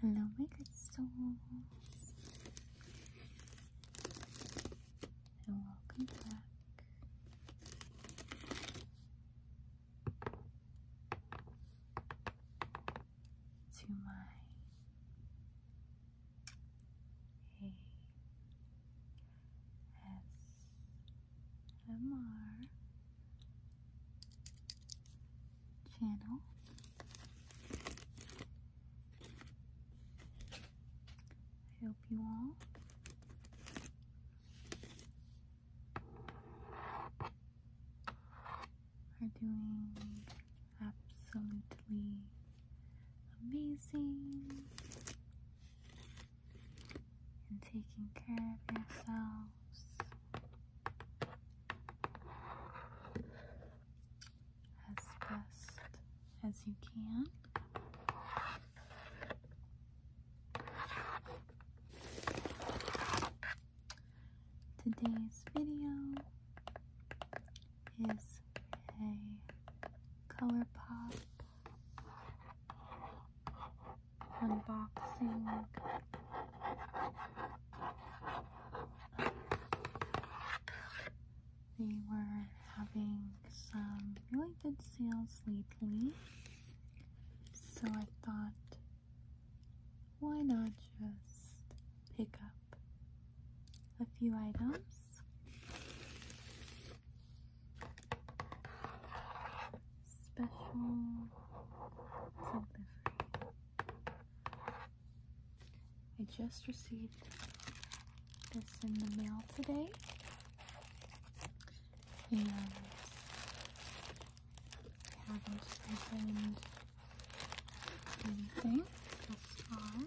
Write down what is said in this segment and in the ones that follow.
Hello, my good souls, and welcome back. To my ASMR channel. I hope you all are doing absolutely amazing and taking care of yourselves. As best as you can. Today's video is a ColourPop unboxing. They were having some really good sales lately, so I thought, why not just pick up a few items? special delivery. I just received this in the mail today, and I haven't opened anything just far.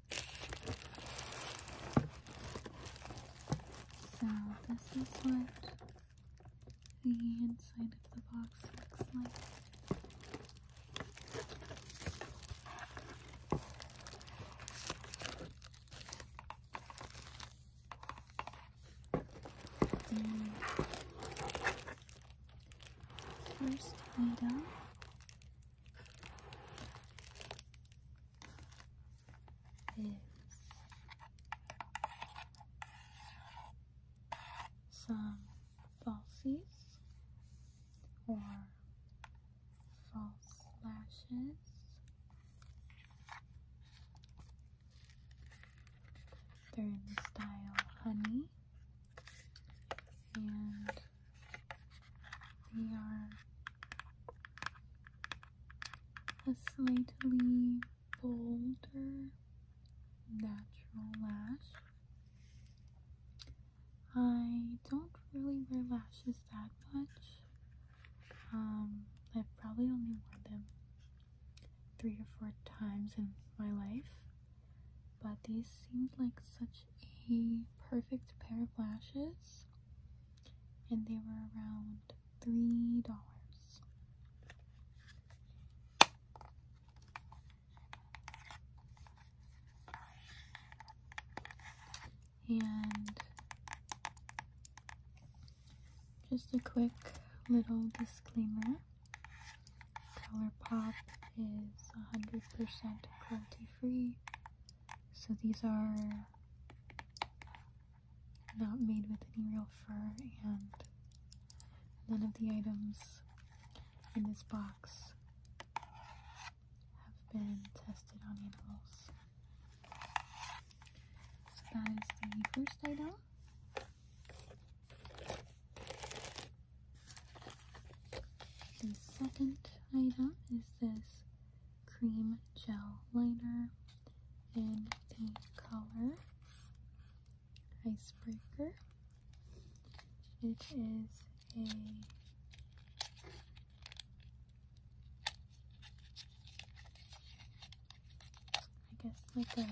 So this is what the inside of the box looks like. first item some falsies or false lashes. They're in the style honey and they are a slightly bolder natural lash. I don't really wear lashes that much. Um, I've probably only worn them three or four times in my life but these seemed like such a perfect pair of lashes and they were around three dollars and just a quick little disclaimer ColourPop is 100% cruelty free. So these are not made with any real fur and none of the items in this box have been tested on animals. So that is the first item. The second item is this cream gel liner in the color Icebreaker. It is a I guess like a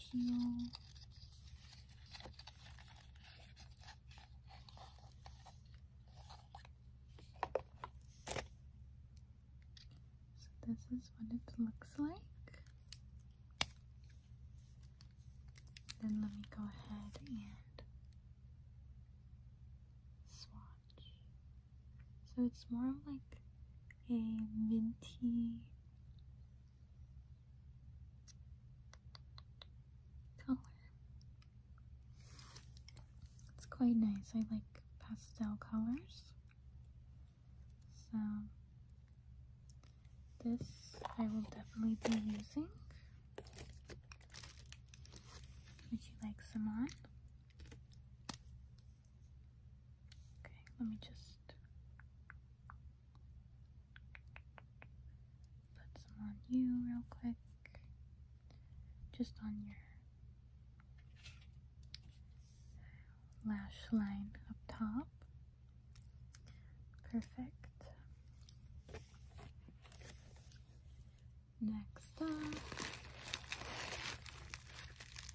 teal so this is what it looks like. Then let me go ahead and swatch. So it's more of like a minty color. It's quite nice. I like pastel colors. So this I will definitely be using. Would you like some on? Okay, let me just Put some on you real quick. Just on your lash line up top. Perfect. Next up,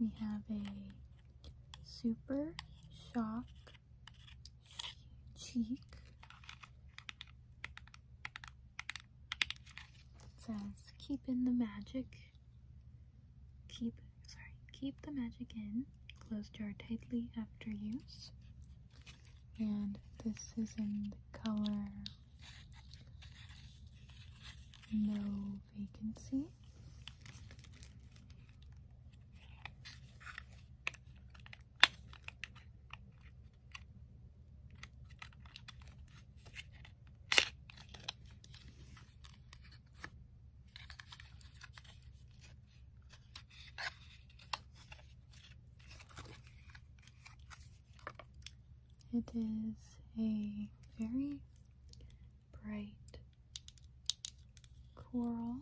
We have a Super Shock Cheek. It says, keep in the magic. Keep, sorry, keep the magic in. Close jar tightly after use. And this is in the color no vacancy. It is a very bright coral.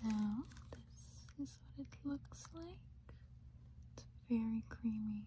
So this is what it looks like. It's very creamy.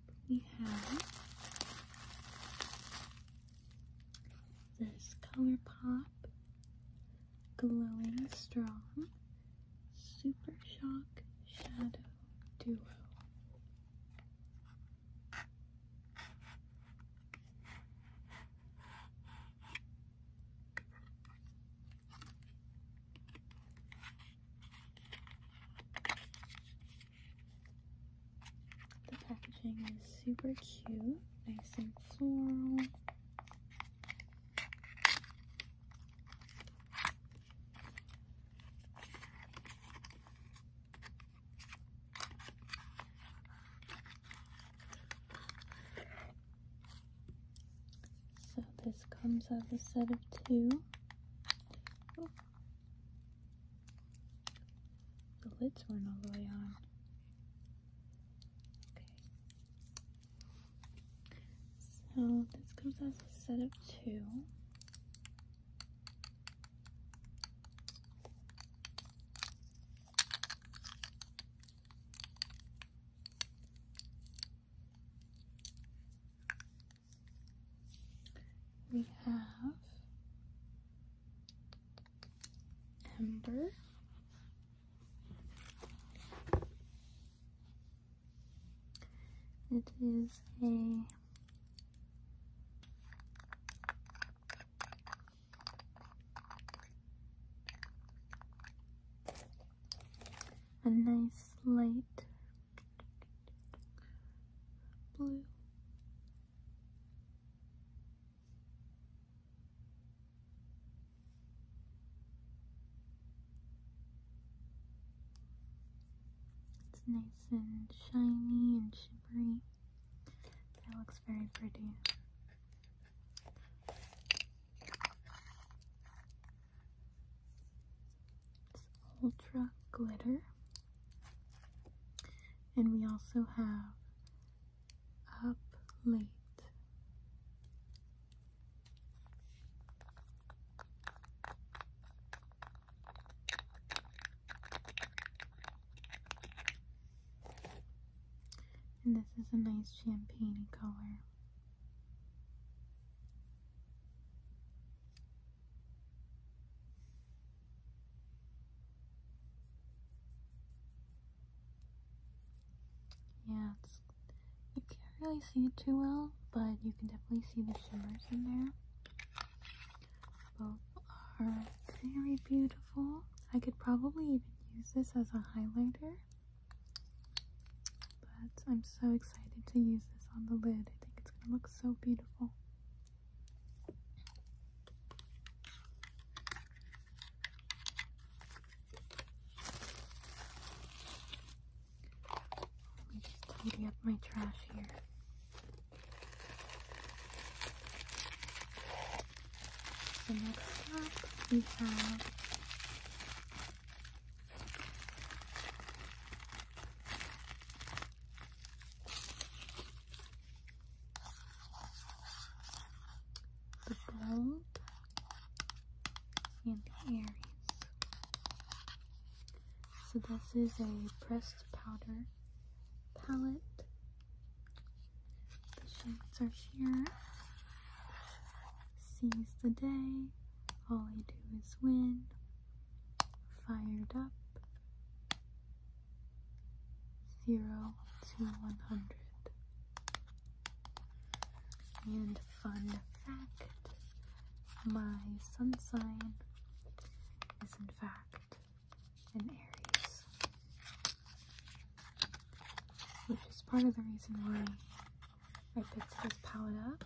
we have this ColourPop Glowing Strong Super Shock Shadow Duo. The packaging is super cute, nice and floral. So this comes as a set of two. The lids weren't all the way on. Okay. So this comes as a set of two. We have Ember. It is a a nice light blue it's nice and shiny and shimmery that looks very pretty Ultra Glitter. And we also have Up Late. And this is a nice champagne color. Yeah, you can't really see it too well, but you can definitely see the shimmers in there. Both are very beautiful. I could probably even use this as a highlighter. But I'm so excited to use this on the lid. I think it's going to look so beautiful. Let me just tidy up my trash here. So next up we have the gold and the Aries. So this is a pressed powder palette. The shades are here seize the day, all I do is win, fired up, 0 to 100. And fun fact, my sun sign is in fact an Aries, which is part of the reason why I picked this palette up.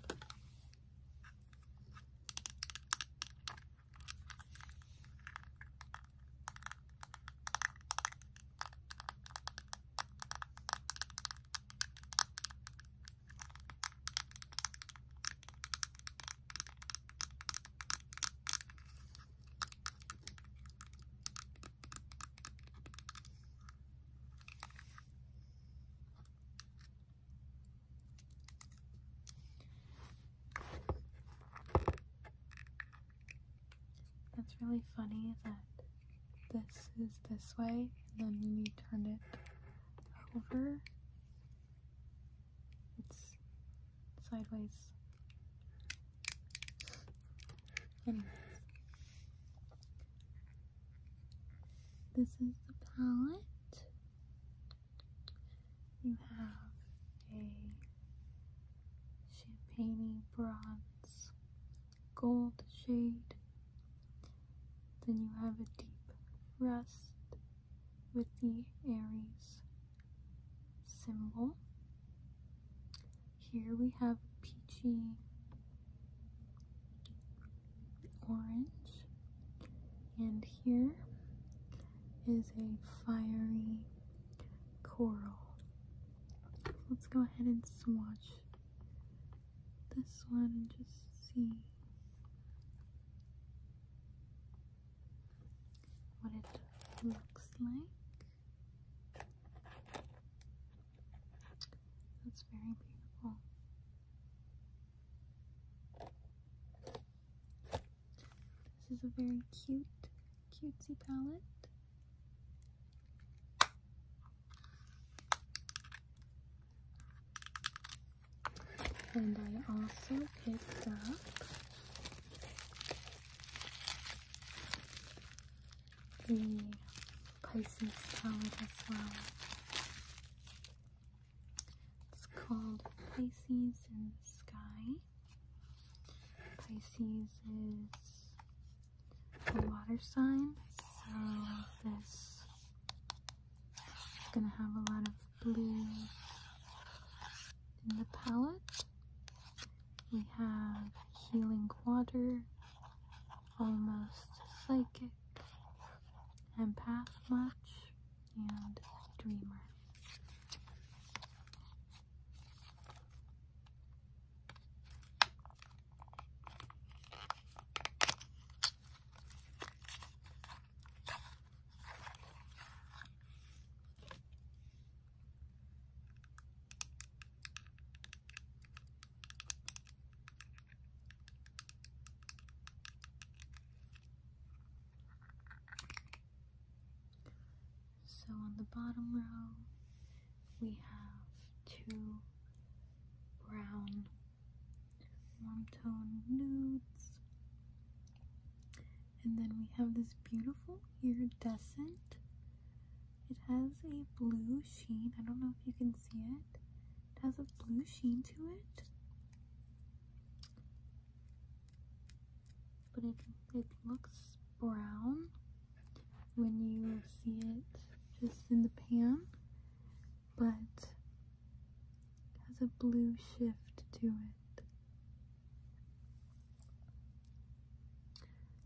That's really funny that this is this way and then you turn it over. It's sideways this is the palette. You have a champagney bronze gold shade. Then you have a deep rust with the Aries symbol. Here we have peachy orange, and here is a fiery coral. Let's go ahead and swatch this one and just see what it looks like. That's very beautiful. This is a very cute, cutesy palette. And I also picked up the Pisces palette as well. It's called Pisces in the Sky. Pisces is a water sign, so this is going to have a lot of blue in the palette. We have Healing Water, almost psychic, empath much, and dreamer. So on the bottom row, we have two brown warm tone nudes, and then we have this beautiful iridescent it has a blue sheen. I don't know if you can see it. It has a blue sheen to it. But it, it looks brown when you see it just in the pan. But it has a blue shift to it.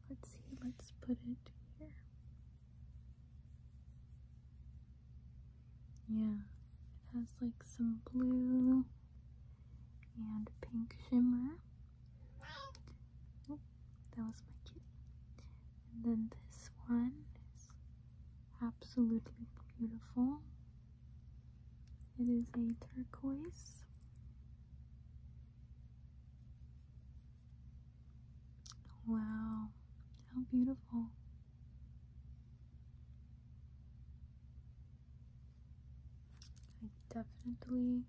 Let's see, let's put it here. Yeah, it has like some blue and pink shimmer. Oh, that was my kitty. And then this one is absolutely beautiful. It is a turquoise. Wow, how beautiful. I definitely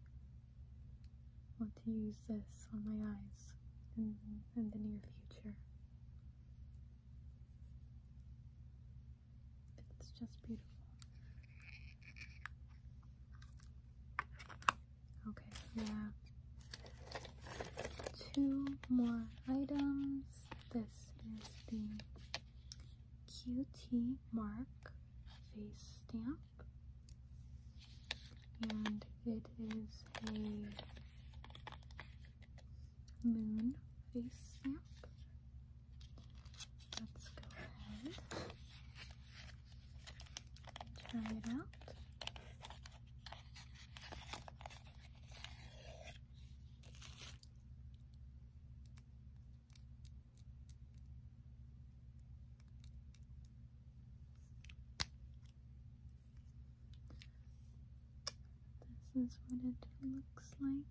want to use this on my eyes in, in the near future. It's just beautiful. Okay, we two more items. This is the QT Mark face stamp, and it is a moon face stamp. Let's go ahead Try it out. This is what it looks like.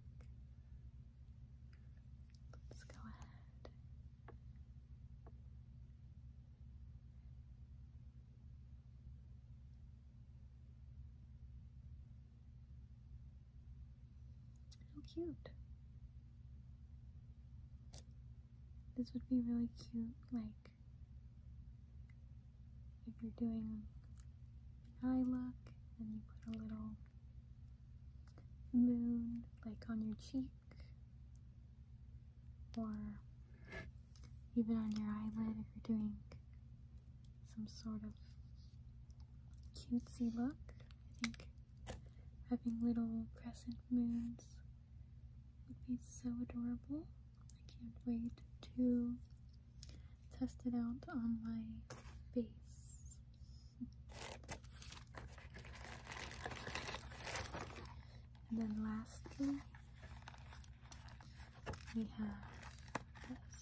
Let's go ahead how cute. This would be really cute, like if you're doing an eye look and you put a little moon like on your cheek or even on your eyelid if you're doing some sort of cutesy look. I think having little crescent moons would be so adorable. I can't wait to test it out on my face. And then lastly, we have this.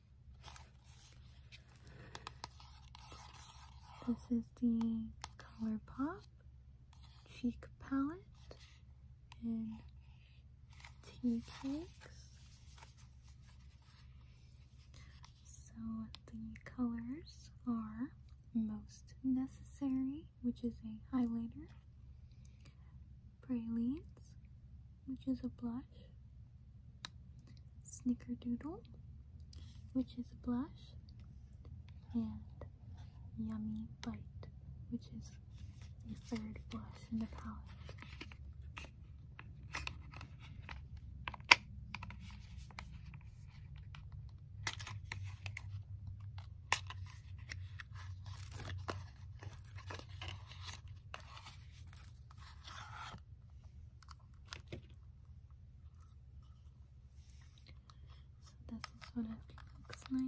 This is the ColourPop Cheek Palette in Tea So the colors are Most Necessary, which is a highlighter, Pralines, which is a blush. Snickerdoodle, which is a blush. And Yummy Bite, which is the third blush in the palette. So this is what it looks like.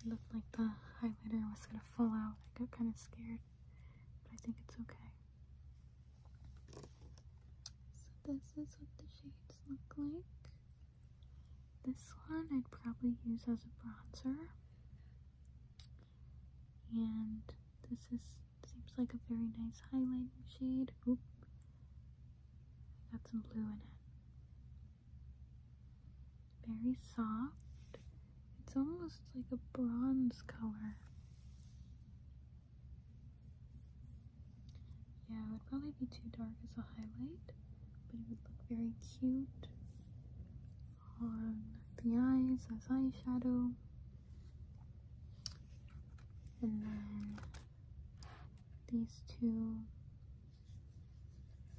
It looked like the highlighter was gonna fall out. I got kind of scared, but I think it's okay. So this is what the shades look like. This one I'd probably use as a bronzer. And this is seems like a very nice highlighting shade. Oop. Got some blue in it. Very soft. It's almost like a bronze color. Yeah, it would probably be too dark as a highlight, but it would look very cute on the eyes as eyeshadow. And then these two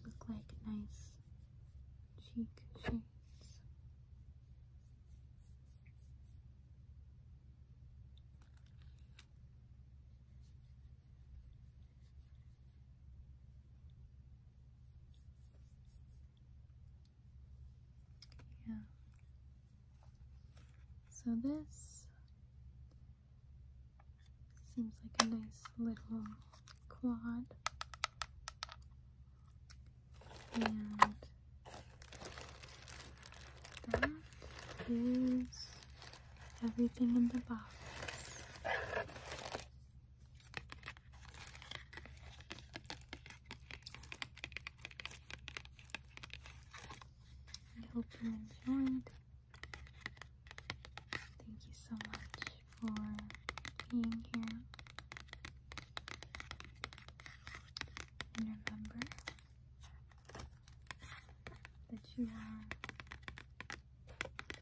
look like nice cheek shapes. Yeah. So this seems like a nice little quad. And that is everything in the box. I hope you enjoyed. Thank you so much for being here. And remember that you are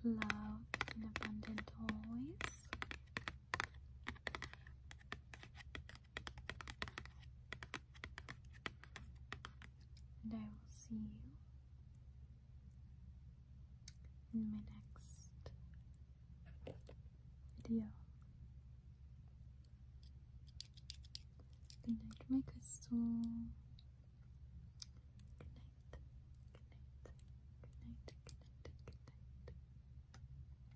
loved and abundant always. And I will see you in my next video. Good my crystal. Good night. Good night. Good night.